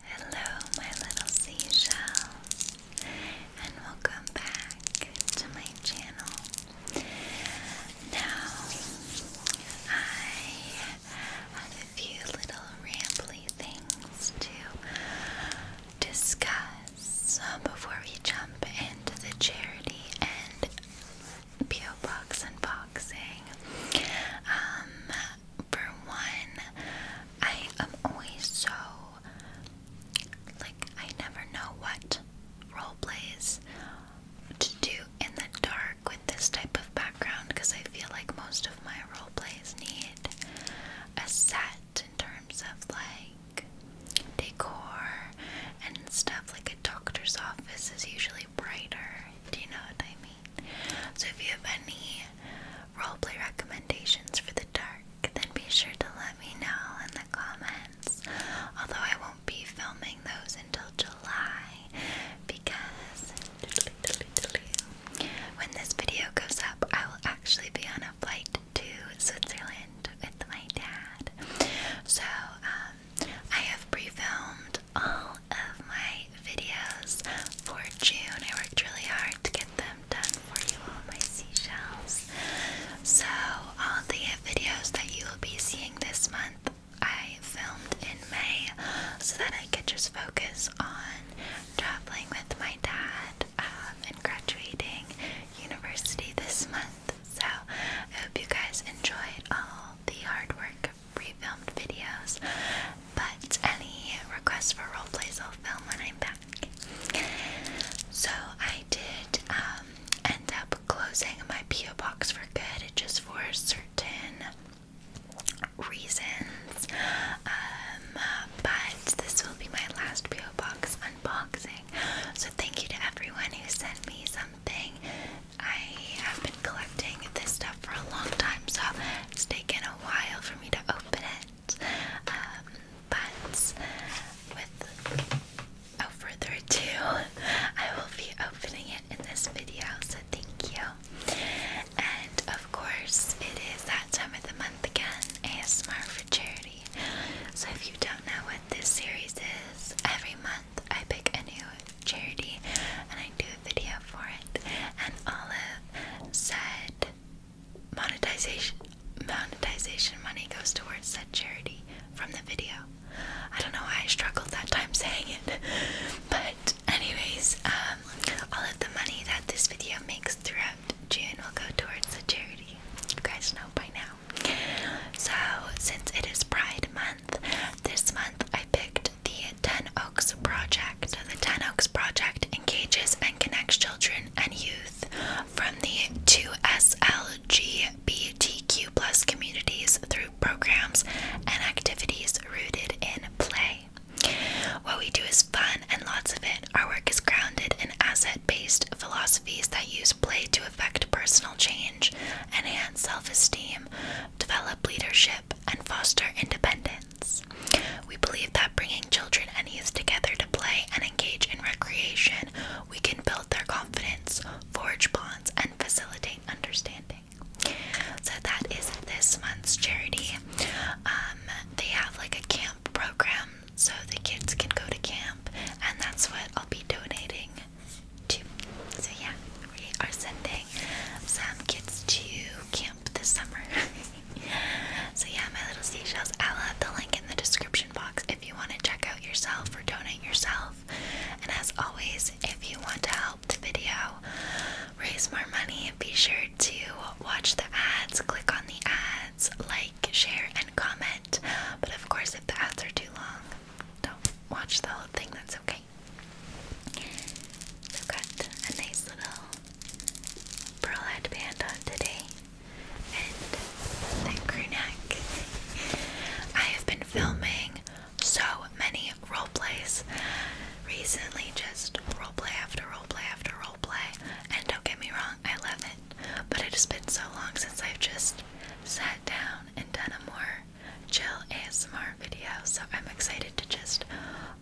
Hello, my little seashells, and welcome back to my channel. Now, I have a few little rambly things to discuss uh, before we jump into the charity and PO box unboxing. Um, for one, I am always so like I never know what role plays to do in the dark with this type of background because I feel like most of my role plays need a set in terms of like decor and stuff like a doctor's office is usually brighter. Do you know what I mean? So if you have any roleplay recommendations for the dark, then be sure to let me know in the comments. Although I won't be filming those until July because when this video goes up, I will actually be on a flight to Switzerland with my dad. So, um, I have pre filmed all of my videos for June. I worked really hard to get them done for you all, my seashells. So, all the videos that you will be seeing this month, I filmed in May so that I could just focus on traveling with my dad um, and graduating university this month. So, I hope you guys enjoyed all the hard work pre filmed videos. But any requests for role plays, I'll film when I'm back. So I did um, end up closing my P.O. box for good just for certain reasons. Um, but this will be my last P.O. box unboxing. So thank you to everyone who sent me something. I have been collecting this stuff for a long time, so it's taken a while for me to open it. Um, but without further ado, I will be opening it in this video, so thank you. And of course, it is that time of the month again ASMR for charity. So if you don't know what this series is, every month I pick a new charity and I do a video for it. And Olive said Monetization monetization money goes towards said charity from the video. I don't know why I struggled that time saying it. But anyways, um all of the money that this video makes throughout June will go towards the charity. You guys know by now. So since it is Pride Month, this month I picked the Ten Oaks Project. The Ten Oaks Project engages and connects children and youth from the 2SLGBTQ plus communities through programs and activities rooted in play. What we do is fun and lots of it. Our work is grounded in asset based philosophies that use play to affect personal change, enhance self esteem, develop leadership, and foster independence. We believe that bringing children and youth together to play and engage in recreation, we can build their confidence, forge bonds, and facilitate understanding. So that is this month's charity. Um, they have like a camp program, so the kids can go to camp, and that's what I'll be donating to. So yeah, we are sending some kids to camp this summer. so yeah, my little seashells. I'll have the link in the description box if you want to check out yourself or donate yourself. And as always, if you want to help the video raise more money, be sure to watch the ads, click on the ads, like, share, and comment. But of course, if the ads are too long, don't watch the whole thing, that's okay. So, got a nice little pearl headband on today and the crew I have been filming so many role plays recently, just role play after role play after role play. And don't get me wrong, I love it, but it has been so long since I've just sat down and done a more chill ASMR video. So I'm excited to just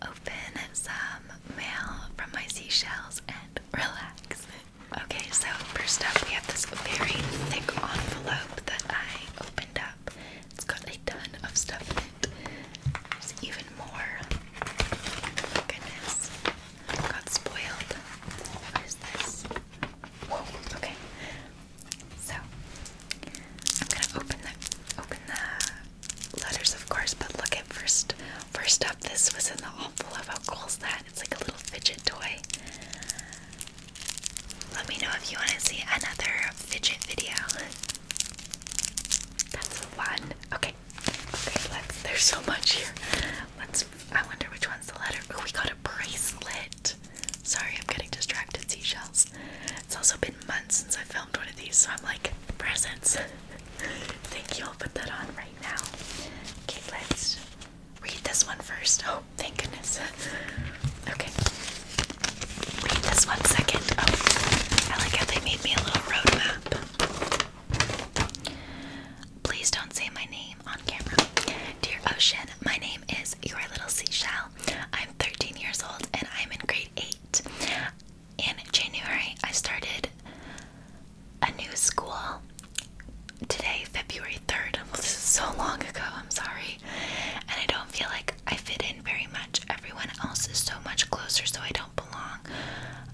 open up. Um, mail from my seashells and relax. Okay, so first up, we have this very thick envelope that I opened up. It's got a ton of stuff in it. There's even more. Oh, goodness, got spoiled. What is this? Whoa. Okay, so I'm gonna open the open the letters, of course, but look at first. First up, this was in the awful envelope. How cool is that? It's like a little fidget toy. Let me know if you want to see another fidget video. That's one. Okay. Okay, There's so much here. Let's. I wonder which one's the letter. Oh, we got a bracelet. Sorry, I'm getting distracted. Seashells. It's also been months since I filmed one of these, so I'm like presents. Thank you. I'll put that on right now. Okay, let's read this one first. Oh, thank goodness. Okay. wait this one second. Oh, I like how they made me a little roadmap. Please don't say my name on camera. Dear Ocean, my name is Your Little Seashell. I'm 13 years old and I'm in grade 8 in January, I started a new school. Today, February 3rd. Well, this is so long ago, I'm sorry. And I don't feel like I fit in very much. Everyone else is so much closer, so I don't belong.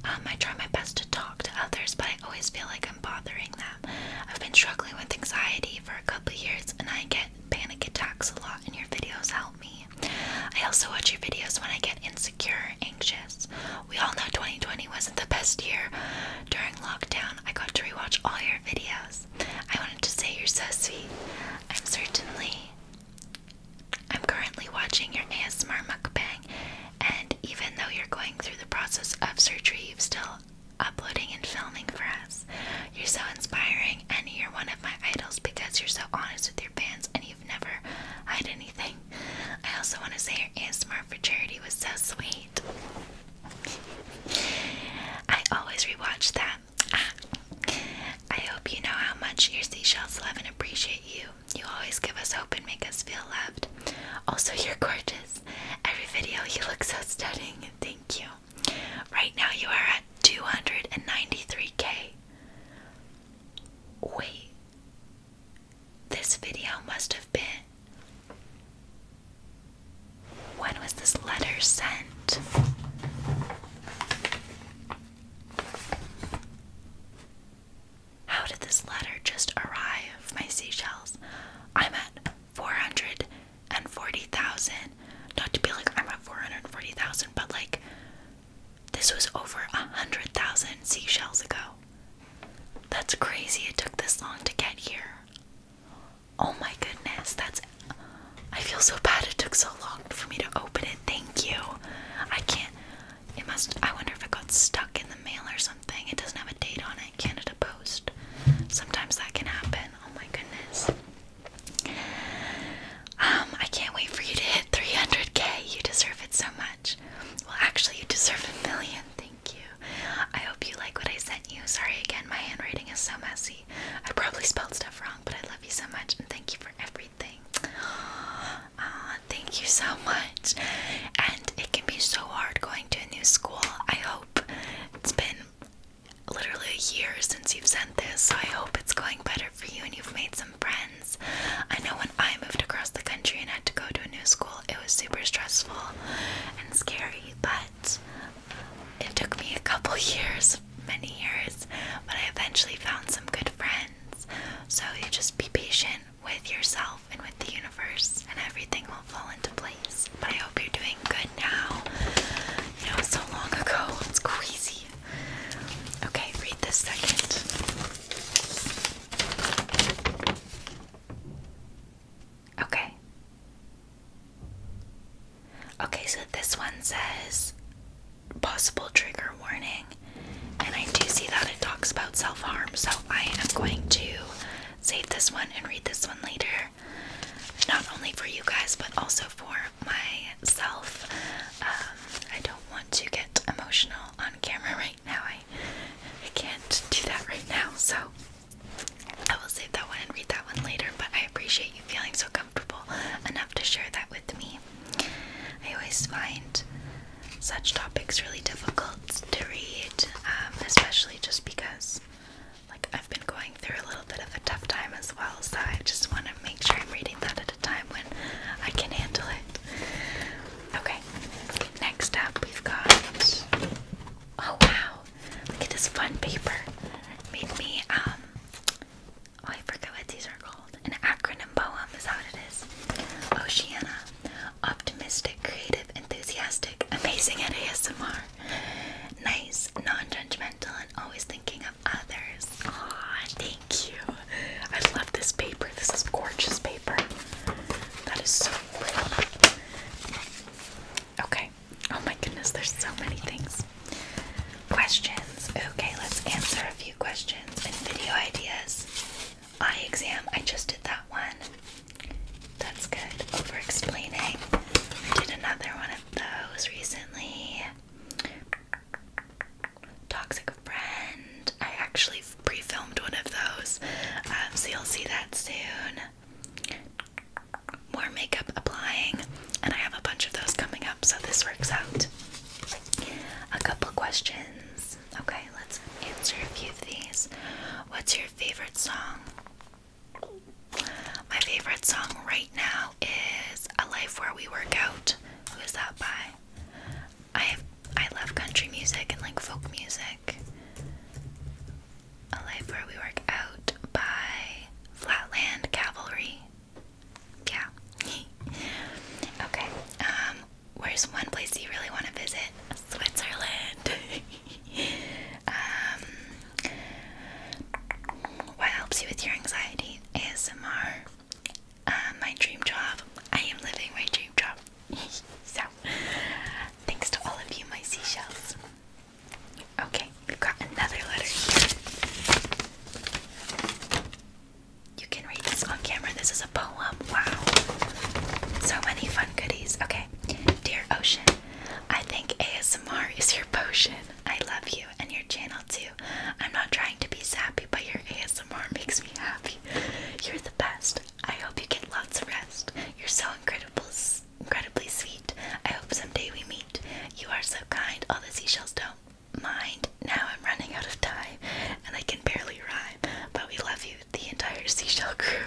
Um, I try my best to talk to others, but I always feel like I'm bothering them. I've been struggling with anxiety for a couple years, and I get panic attacks a lot, and your videos help me. I also watch your videos when I get insecure, anxious. We all know 2020 wasn't the best year. During lockdown, I got to rewatch all your videos. I wanted to say you're so sweet. I'm certainly. I'm currently watching your ASMR mukbang, and even though you're going through the process of surgery, you've still uploading and filming for us. You're so inspiring, and you're one of my idols because you're so honest with your fans and you've never hide anything. I also want to say her ASMR for charity was so sweet. I always rewatch that. Ah, I hope you know how much your seashells love and appreciate you. You always give us hope and make us feel loved. Also, you're gorgeous. Every video, you look so stunning. Thank you. Right now, you are at 293k. Wait, this video must have been. When was this letter sent? How did this letter just arrive, my seashells? I'm at 440,000. Not to be like I'm at 440,000, but like this was over a hundred thousand seashells ago. That's crazy it took this long to get here. Oh my goodness, that's. I feel so bad it took so long for me to open it. Thank you. I can't. It must. I wonder if it got stuck in the mail or something. It doesn't have a date on it. Canada Post. Sometimes that can happen. Oh my goodness. Um, I can't wait for you to hit 300k. You deserve it so much. Well, actually, you deserve a million. Thank you. I hope you like what I sent you. Sorry again, my handwriting is so messy. I probably spelled stuff wrong, but I love you so much and thank you for everything. Uh, thank you so much. And it can be so hard going to a new school. I hope it's been literally a year since you've sent this, so I hope it's going better for you and you've made some friends. I know when I moved across the country and had to go to a new school, it was super stressful and scary, but it took me a couple years, many years, but I eventually found some good friends. So just be patient with yourself and with the universe, and everything will fall into place. But I hope you're doing good now. You know, so long ago, it's crazy. Okay, read this second. Okay. Okay, so this one says possible trigger warning, and I do see that it talks about self harm, so I am going to save this one and read this one later. Not only for you guys, but also for myself. Um, I don't want to get emotional on camera right now now. I, I can't do that right now, so I will save that one and read that one later. But I appreciate you feeling so comfortable enough to share that with me. I always find such topics really difficult to read, um, especially just because, like, I've been going through a little bit of a tough time as well. So I just want to make sure I'm reading that time when I can handle it. Okay, next up we've got. Oh wow! Look at this fun paper. Made me um. Oh, I forget what these are called. An acronym poem is how it is. Oceana, optimistic, creative, enthusiastic, amazing at ASMR, nice, non-judgmental, and always thinking of others. Aw, thank you. I love this paper. This is gorgeous paper. That is so pretty. Okay. Oh my goodness, there's so many things. Questions. Okay, let's answer a few questions and video ideas. I exam. I just did that one. That's good. Over explaining. I did another one of those recently. Toxic Friend. I actually pre filmed one of those, um, so you'll see that soon. More makeup applying, and I have a bunch of those coming up, so this works out. A couple questions. Okay, let's answer a few of these. What's your favorite song? My favorite song right now is A Life Where We Work Out. Who is that by? I I love country music and like folk music. A Life Where We Work Out by Flatland Cavalry. Yeah. okay. Um, where's one place you really want to visit? Switzerland. um, what helps you with your anxiety? ASMR. Uh, my dream job. I am living my dream job. so, thanks to all of you, my seashells. Okay, we've got another letter You can read this on camera. This is a poem. Wow. So many fun goodies. Okay. Dear Ocean, I think ASMR is your potion. I love you and your channel too. I'm not trying to be sappy, but your ASMR makes me happy. You're the best. I hope you get lots of rest. You're so incredible, incredibly sweet. I hope someday we meet. You are so kind. All the seashells don't mind. Now I'm running out of time, and I can barely rhyme. But we love you, the entire seashell crew.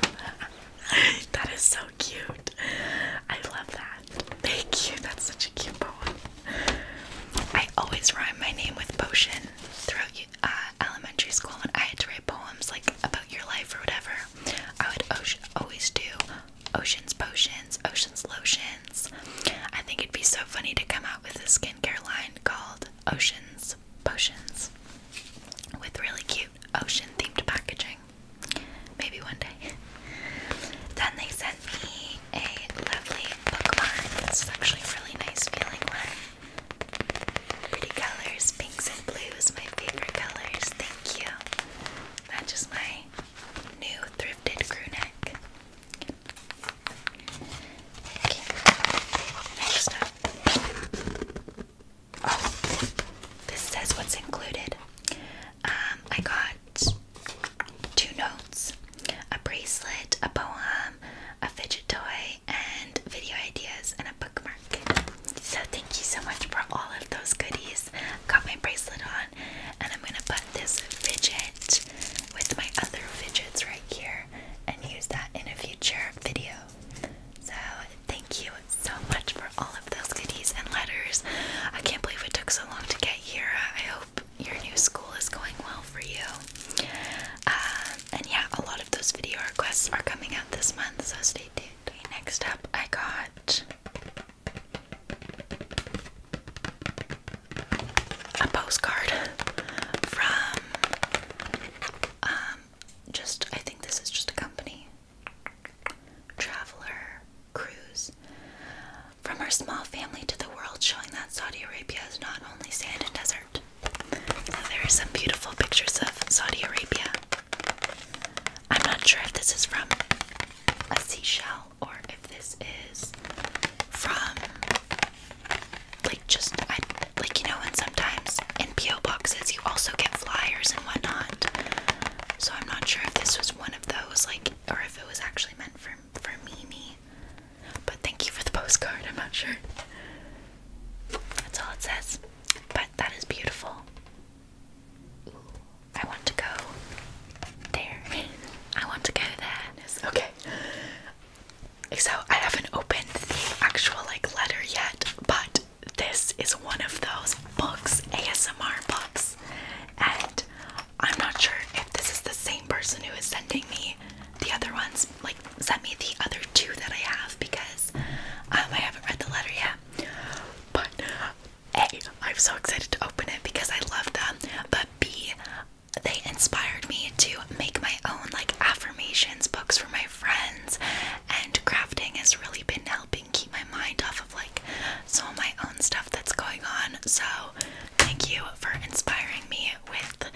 that is so cute. I love that. Thank you. That's such a cute poem. I always rhyme my name with potion throughout you. Uh, elementary school when I had to write poems like about your life or whatever, I would always do oceans potions, oceans lotions. I think it'd be so funny to come out with a skincare line called Oceans Potions with really cute ocean themed packaging. Maybe one day. Then they sent me a lovely bookmark. It's actually a really nice feeling one. Pretty colors, pinks and blues, my favorite colors. Thank you. Matches my new thrifted crew neck. Okay. Next up. Oh, this says what's included. Um, I got two notes, a bracelet, a poem, a fidget toy, and video ideas and a bookmark. So thank you so much for all of those goodies. Got my bracelet on and I'm gonna put this fidget with my other fidgets right here and use that in a future video. So thank you so much for all of those goodies and letters. I can't believe it took so long to get here. I hope your new school is going well for you. Uh, and yeah, a lot of those video requests are coming out this month, so stay tuned. next up, I got a postcard from um, just I think this is just a company, Traveler Cruise. From our small family to the world, showing that Saudi Arabia is not only sand and desert. Oh, there are some beautiful pictures of Saudi Arabia. I'm not sure if this is from a seashell or if this is from like just I, like you know, and sometimes in PO boxes you also get flyers and whatnot. So I'm not sure if this was one of those, like, or if it was actually meant for for Mimi. But thank you for the postcard. I'm not sure. That's all it says. But that is beautiful. I want to go there. I want to go there. Okay. So I haven't opened the actual like letter yet, but this is one of those books, ASMR books, and I'm not sure if this is the same person who is sending me the other ones, like sent me the other two that I have because um, I haven't read the letter yet. But A, I'm so excited to open it because I love them. But B, they inspired me to make my own like affirmations books for my friends, and crafting has really been helping keep my mind off of like some of my own stuff that's going on. So, thank you for inspiring me with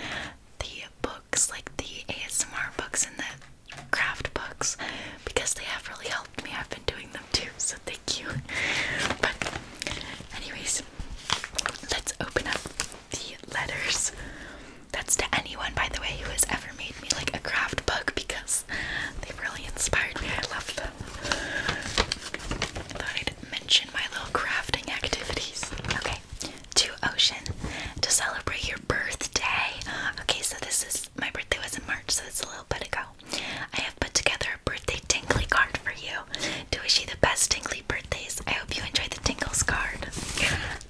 the books, like the ASMR books and the craft books, because they have really helped me. I've been doing them too, so thank you. But, anyways, let's open up the letters. That's to anyone, by the way, who has ever made me like a craft book because they really inspired me. I love them. I thought I'd mention my little crafting activities. Okay, to Ocean to celebrate your birthday. Okay, so this is my birthday was in March, so it's a little bit ago. I have put together a birthday tingly card for you to wish you the best tingly birthdays. I hope you enjoy the tingles card.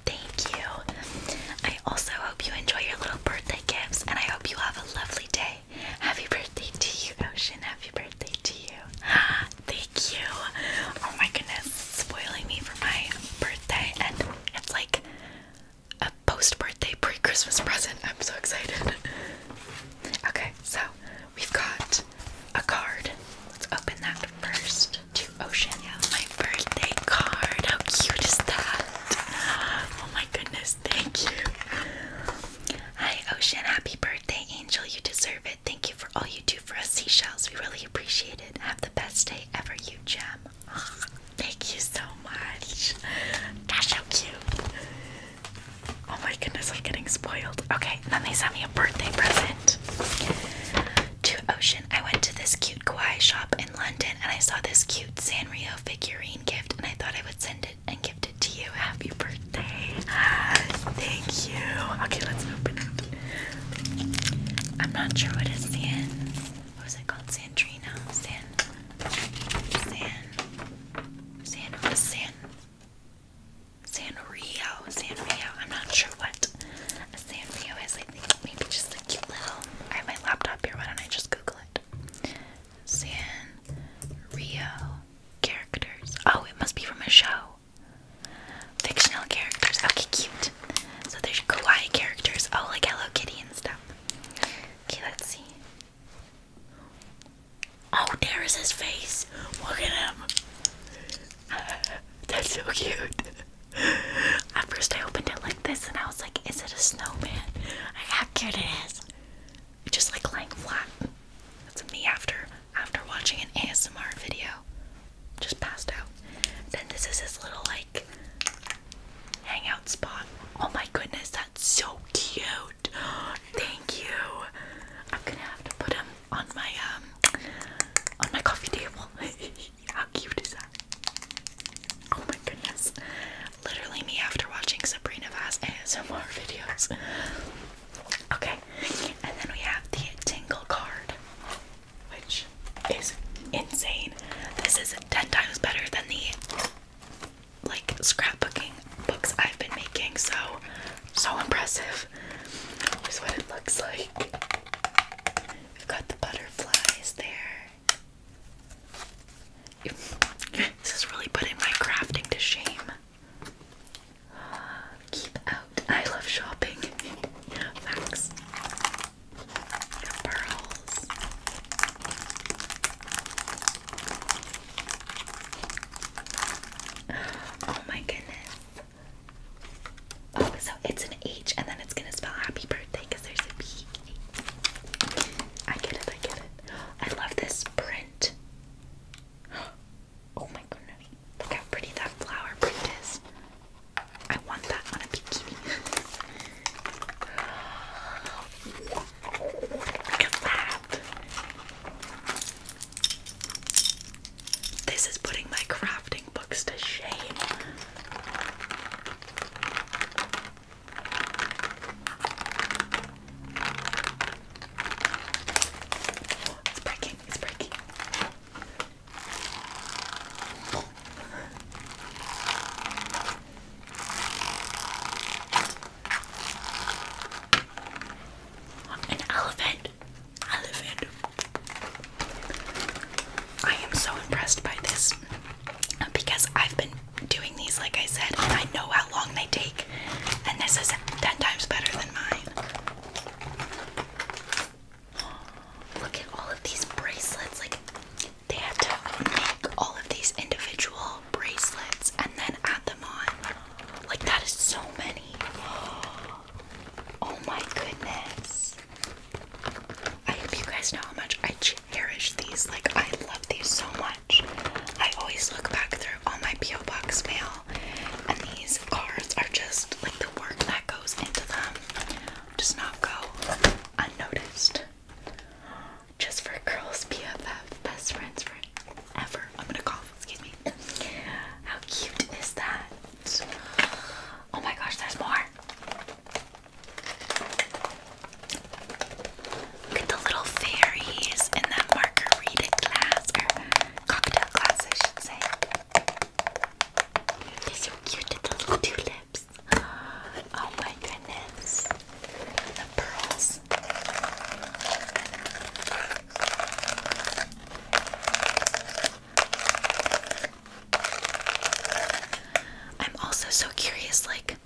Thank you. I also hope you enjoy your little birthday gifts, and I hope you have a lovely day. Happy birthday to you, Ocean. Happy birthday to you. Thank you. Oh my goodness, spoiling me for my birthday and it's like a post birthday pre Christmas present. I'm so excited. okay, so we've got a card. Let's open that first to Ocean. my birthday card. How cute is that? Oh my goodness, thank you. Hi, Ocean. Happy birthday, Angel. You deserve it. Thank you for all you do for us, seashells. We really appreciate it. Have the best day ever, you gem thank you so much. That's so cute. Oh my goodness, I'm getting spoiled. Okay, then they sent me a birthday present. To Ocean, I went to this cute kawaii shop in London and I saw this cute Sanrio figurine gift and I thought I would send it and gift it to you. Happy birthday. Thank you. Okay, let's open it. I'm not sure what it stands what was it called? Sandrina. San. San. San. San. Sanrio. Sanrio. I'm not sure what a Sanrio is. I think maybe just a cute little. I have my laptop here. Why don't I just Google it? Sanrio characters. Oh, it must be from a show. Fictional characters. Okay, cute. So there's kawaii characters, all oh, like Hello Kitty and stuff. Okay, let's see. Oh, there is his face. Look at him. That's so cute. At first, I opened it like this, and I was like, "Is it a snowman? how cute it is!" Just like lying flat. That's me after after watching an ASMR video just passed out. Then this is this little like hangout spot. Oh my goodness, that's so cute. Thank you. I'm gonna have to put him on my um on my coffee table. How cute is that? Oh my goodness. Literally me after watching Sabrina and some more videos. Okay, and then we have the tingle card which is insane. This is 10 times better than the like scrapbooking books I've been making, so so impressive is what it looks like. We've got the butterflies there. This has really putting my crafting to shame. Keep out. I love shopping. Facts the pearls. Oh my goodness. Oh, so it's an H and then it's gonna spell happy birthday because there's a B. I get it, I get it. I love this print. Oh my goodness. Look how pretty that flower print is. I want that one, a Look at that. This is putting my crafting books to shame. It's breaking, it's breaking. An elephant. Elephant. I am so impressed by this uh, because I've been doing these, like I said, and I know how long they take, and this is 10 times better than mine. Look at all of these bracelets. Like, they have to make all of these individual bracelets and then add them on. Like, that is so many. Oh my goodness. I hope you guys know how much I cherish these. Like, I love these so much. I always look back through all my P.O. Box mail, and these cards are just like the work that goes into them does not go unnoticed. Just for girls, BFF, best friends ever. I'm gonna cough, excuse me. How cute is that? Oh my gosh, there's more. Look at the little fairies in that margarita glass, or cocktail glass, I should say. they cute, little tulips. Oh my goodness. The pearls. I'm also so curious, like,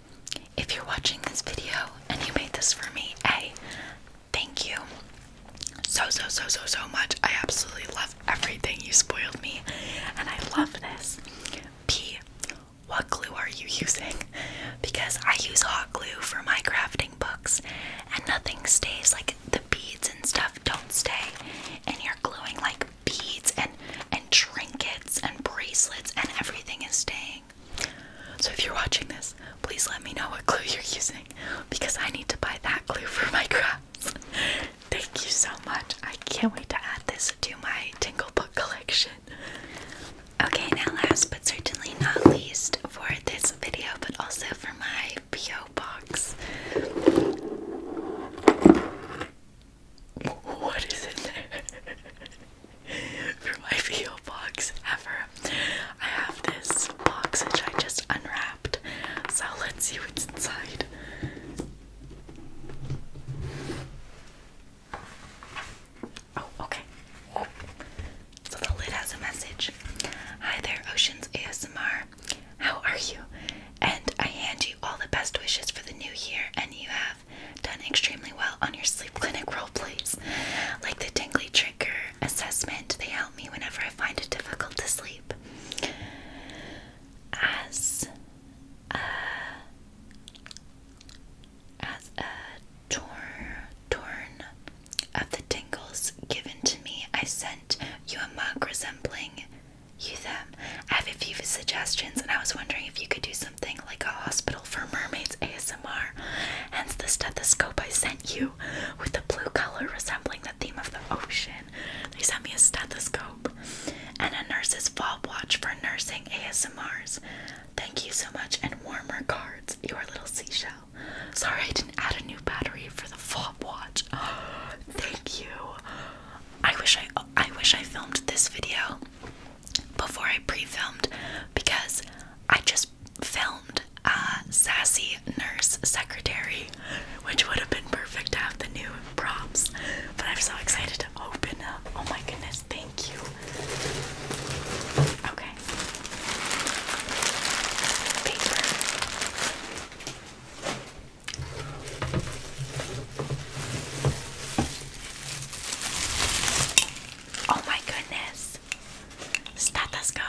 if you're watching this video and you made this for me, hey, thank you so, so, so, so, so much. I absolutely love everything you spoiled me, and I love this. P. What glue are you using? Because I use hot glue for my crafting books and nothing stays like the beads and stuff don't stay. And you're gluing like beads and and trinkets and bracelets and everything is staying. So if you're watching this, please let me know what glue you're using because I need to buy that glue for my crafts. Thank you so much. I can't wait to add this to my Tingle Book collection. Okay, now last but certainly not least for this video, but also for my P.O. box. What is in there? for my P.O. box ever. I have this box which I just unwrapped. So let's see what's inside. Oh, okay. So the lid has a message. Hi there, Oceans ASMR. How are you? And I hand you all the best wishes for the new year, and you have done extremely well on your sleep clinic role plays, Like the tingly trigger assessment, they help me whenever I find it difficult to sleep. As uh, as a torn, torn of the tingles given to me, I sent you a mug resembling you them. I have a few suggestions, and I was wondering if you could do something like a hospital for mermaids ASMR. Hence the stethoscope I sent you with the blue color resembling the theme of the ocean. They sent me a stethoscope and a nurse's fob watch for nursing ASMRs. Thank you so much, and warmer cards. your little seashell. Sorry I didn't add a new battery for the fob watch. Thank you. I wish I I wish I filmed this video before I pre-filmed because I just filmed a sassy nurse secretary, which would have been perfect to have the new props. But I'm so excited to open up. Oh my goodness, thank you. Okay. Paper. Oh my goodness. Stethoscope.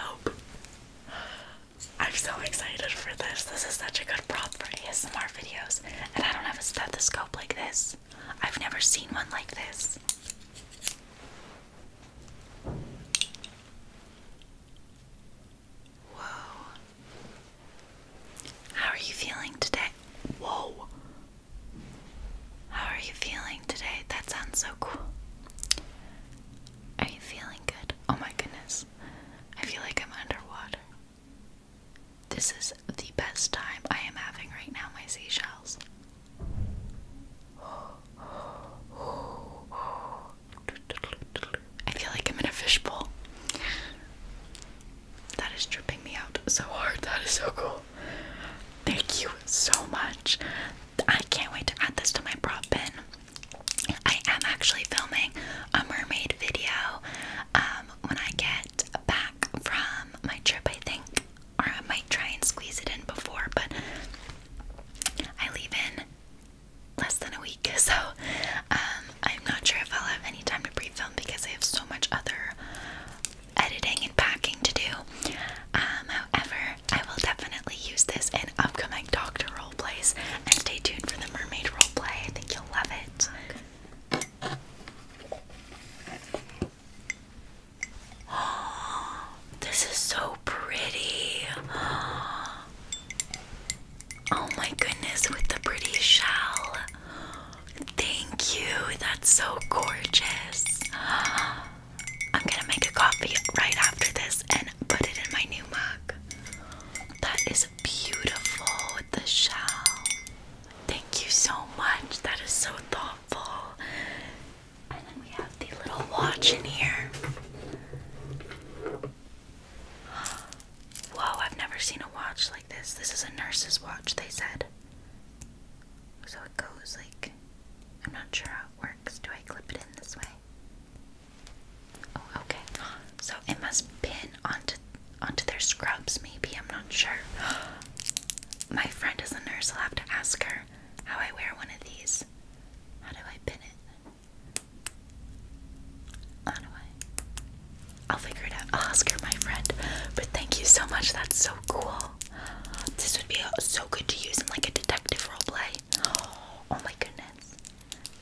I'm so excited for this. This is such a good prop for ASMR videos. And I don't have a stethoscope like this. I've never seen one like this. Whoa. How are you feeling today? Whoa. How are you feeling today? That sounds so cool. Are you feeling good? Oh my goodness. I feel like I'm underwater. This is the best time I am having right now, my seashells. I feel like I'm in a fishbowl. That is tripping me out so hard. That is so cool. Thank you so much. I can't wait to add this to my prop bin. I am actually filming a mermaid video um, when I get back from my trip, I think, or I might try and squeeze it in before, but I leave in less than a week, so um, I'm not sure if I'll have any time to pre film because I have so much other editing and packing to do. Um, however, I will definitely use this in upcoming Doctor role plays, and stay tuned for the mermaid role play. I think you'll love it. this is so pretty. Oh my goodness, with the pretty shell. Thank you. That's so gorgeous. I'm gonna make a coffee right after this and put it in my new mug. That is beautiful with the shell. Thank you so much. That is so thoughtful. And then we have the little watch in here. Whoa, I've never seen a watch like this. This is a nurse's watch, they said. So it goes like. I'm not sure how it works. Do I clip it in this way? Oh, okay. So it must pin onto onto their scrubs, maybe. I'm not sure. My friend is a nurse. I'll have to ask her how I wear one of these. How do I pin it? How do I? I'll figure it out. I'll ask her, my friend. But thank you so much. That's so cool. This would be so good to use in like a detective role play. Oh my goodness.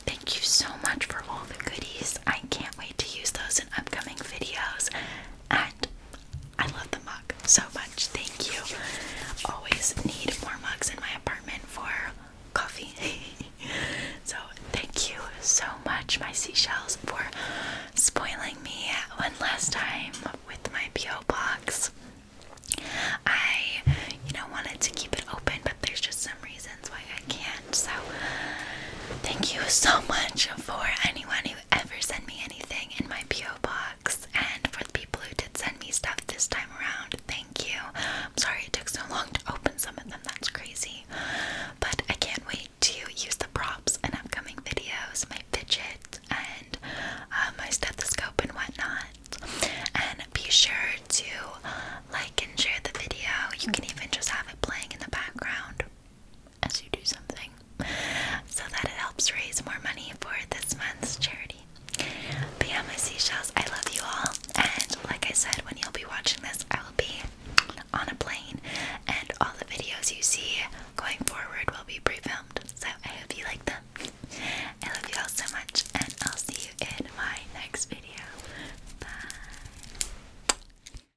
Thank you so much for all the goodies. I can't wait to use those in upcoming videos. And I love the mug so much. Thank you. Always need more mugs in my apartment for coffee. so thank you so much, my seashells, for spoiling me one last time with my PO box. I, you know, wanted to keep it open, but there's just some reasons why I can't. So thank you so much for anyone who ever sent me anything in my PO box, and for the people who did send me stuff this time around. Thank you. I'm sorry it took so long to open some of them. That's crazy, but I can't wait to use the props in upcoming videos. My fidget and uh, my stethoscope and whatnot. And be sure to like and share the video. You can even just have it playing in the background as you do something so that it helps raise more money for this month's charity. But my seashells, I love you all. And like I said, when you'll be watching this, I will be on a plane, and all the videos you see going forward will be pre filmed. So I hope you like them. I love you all so much, and I'll see you in my next video. Bye.